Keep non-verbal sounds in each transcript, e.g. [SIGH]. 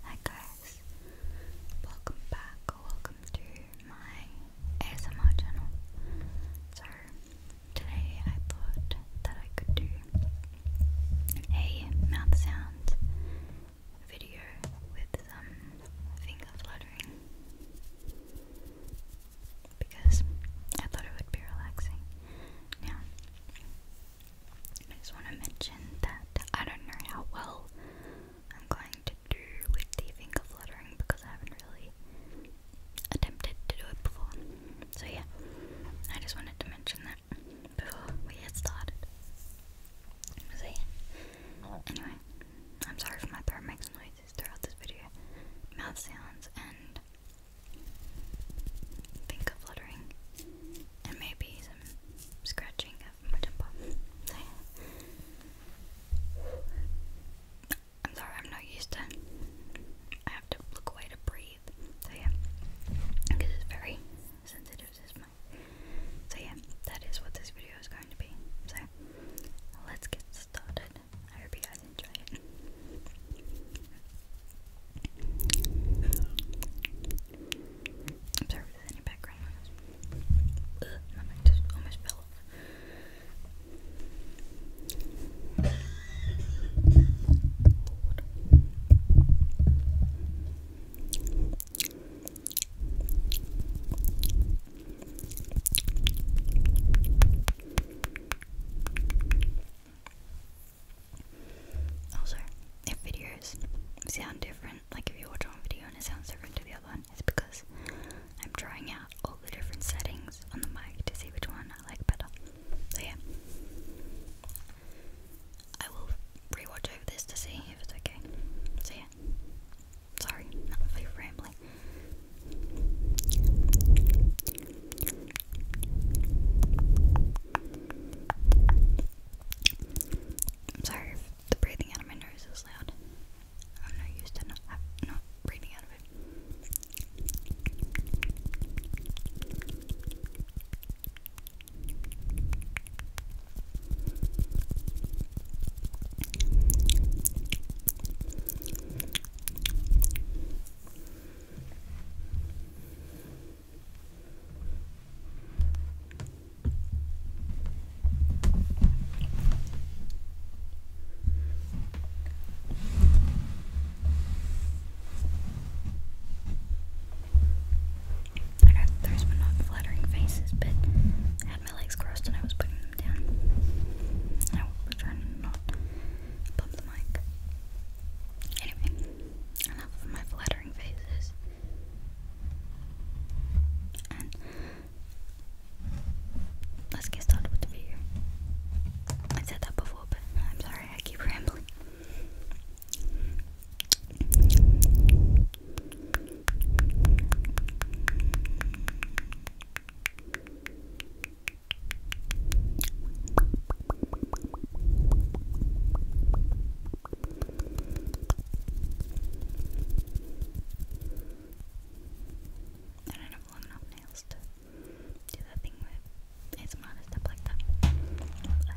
Hi guys, welcome back, welcome to my ASMR channel. So today I thought that I could do a mouth sound video with some finger fluttering because I thought it would be relaxing. Now I just want to mention that I don't know how well I'm going to do with the finger fluttering because I haven't really attempted to do it before. So, yeah, I just wanted to mention that before we get started. So, yeah. Anyway, I'm sorry if my throat makes noises throughout this video, mouth sounds, and think of fluttering and maybe some scratching of my temple. [LAUGHS] I'm sorry, I'm not used to. I have to look away to breathe. So yeah, because it's very sensitive system. So yeah, that is what this video is going to be. So let's get started. I hope you guys enjoy it. I'm sorry if there's any background noise. Ugh, my mic just almost fell off. Also, if videos sound different, like if you watch one video and it sounds different to the other one, it's because I'm trying out all the different settings on the mic to see which one I like better. So yeah. I will rewatch over this to see if it's okay. So yeah. Sorry, for rambling. I'm sorry if the breathing out of my nose is loud. I'm not used to not breathing out of it. I got those not flattering faces, but had my legs crossed and I was putting them down. I was trying to Pop the mic. Anyway, enough of my flattering faces. And let's get started with the video. I said that before, but I'm sorry, I keep rambling. I don't have long enough nails to do that thing with it's not a step like that. But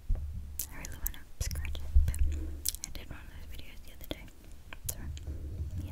I really want to scratch it, but I did one of those videos the other day. So, yeah.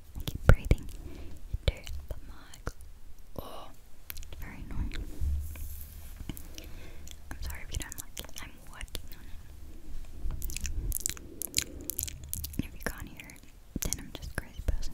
Keep breathing. Into the mic. Oh, very annoying. I'm sorry if you don't like it. I'm working if you can't hear then I'm just crazy person.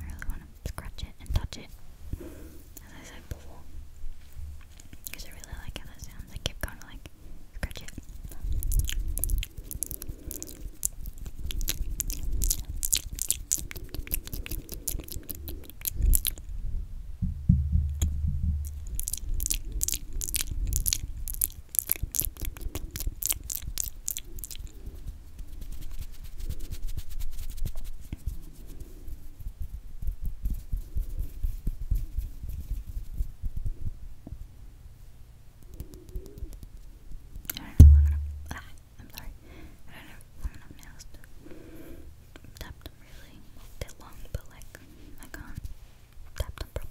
I really want to scratch it and touch it, as I said before, because I really like how that sounds. I keep going to like scratch it aluminum. Ah, I'm sorry. I don't have aluminum nails to tap really. they long, but like I can't tap probably.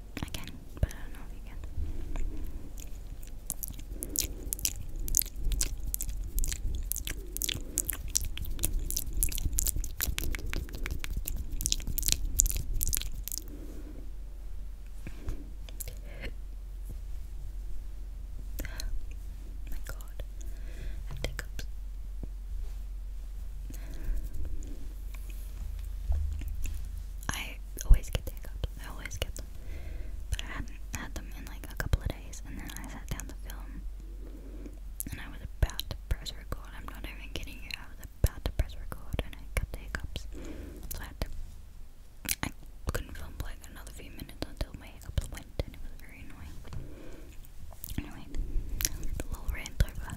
I can, but I don't know if you can. [GASPS] My God, I take up. I always get hiccups. I always get them. But I hadn't had them in like a couple of days, and then I sat down to film, and I was about to press record. I'm not even kidding you. I was about to press record, and I got the hiccups, so I had to. I couldn't film like another few minutes until my hiccups went, and it was very annoying. Anyway, the little rant over.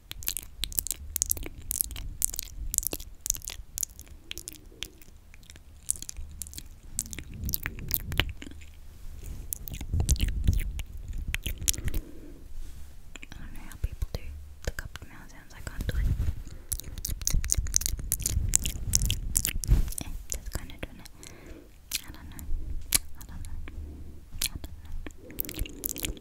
I don't know how people do the cupped mouth sounds, I can't do it. that's kind of doing I don't know. I don't know.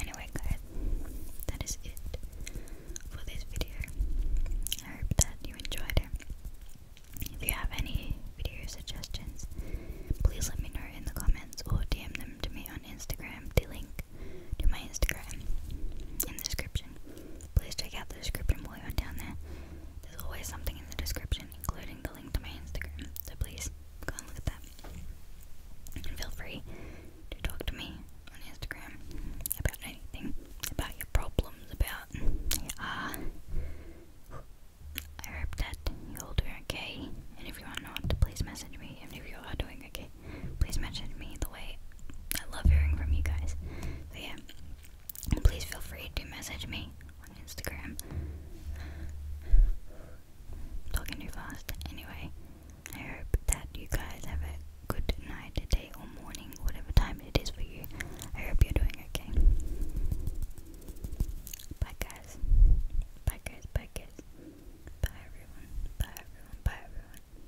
Anyway, guys, that is it for this video. I hope that you enjoyed it. If you have any video suggestions, please let me know in the comments or DM them to me on Instagram. The link to my Instagram in the description please check out the description below down there. There's always something in the description, including the link to my Instagram, so please go and look at that. And feel free to talk to me on Instagram about anything, about your problems, about your uh, I hope that you're all doing okay, and if you are not, please message me, and if you are doing okay, please message me the way I love hearing from you guys. So yeah, and please feel free to message me on Instagram. I'm talking too fast. Anyway, I hope that you guys have a good night, day, or morning, whatever time it is for you. I hope you're doing okay. Bye guys. Bye guys. Bye guys. Bye everyone. Bye everyone. Bye everyone.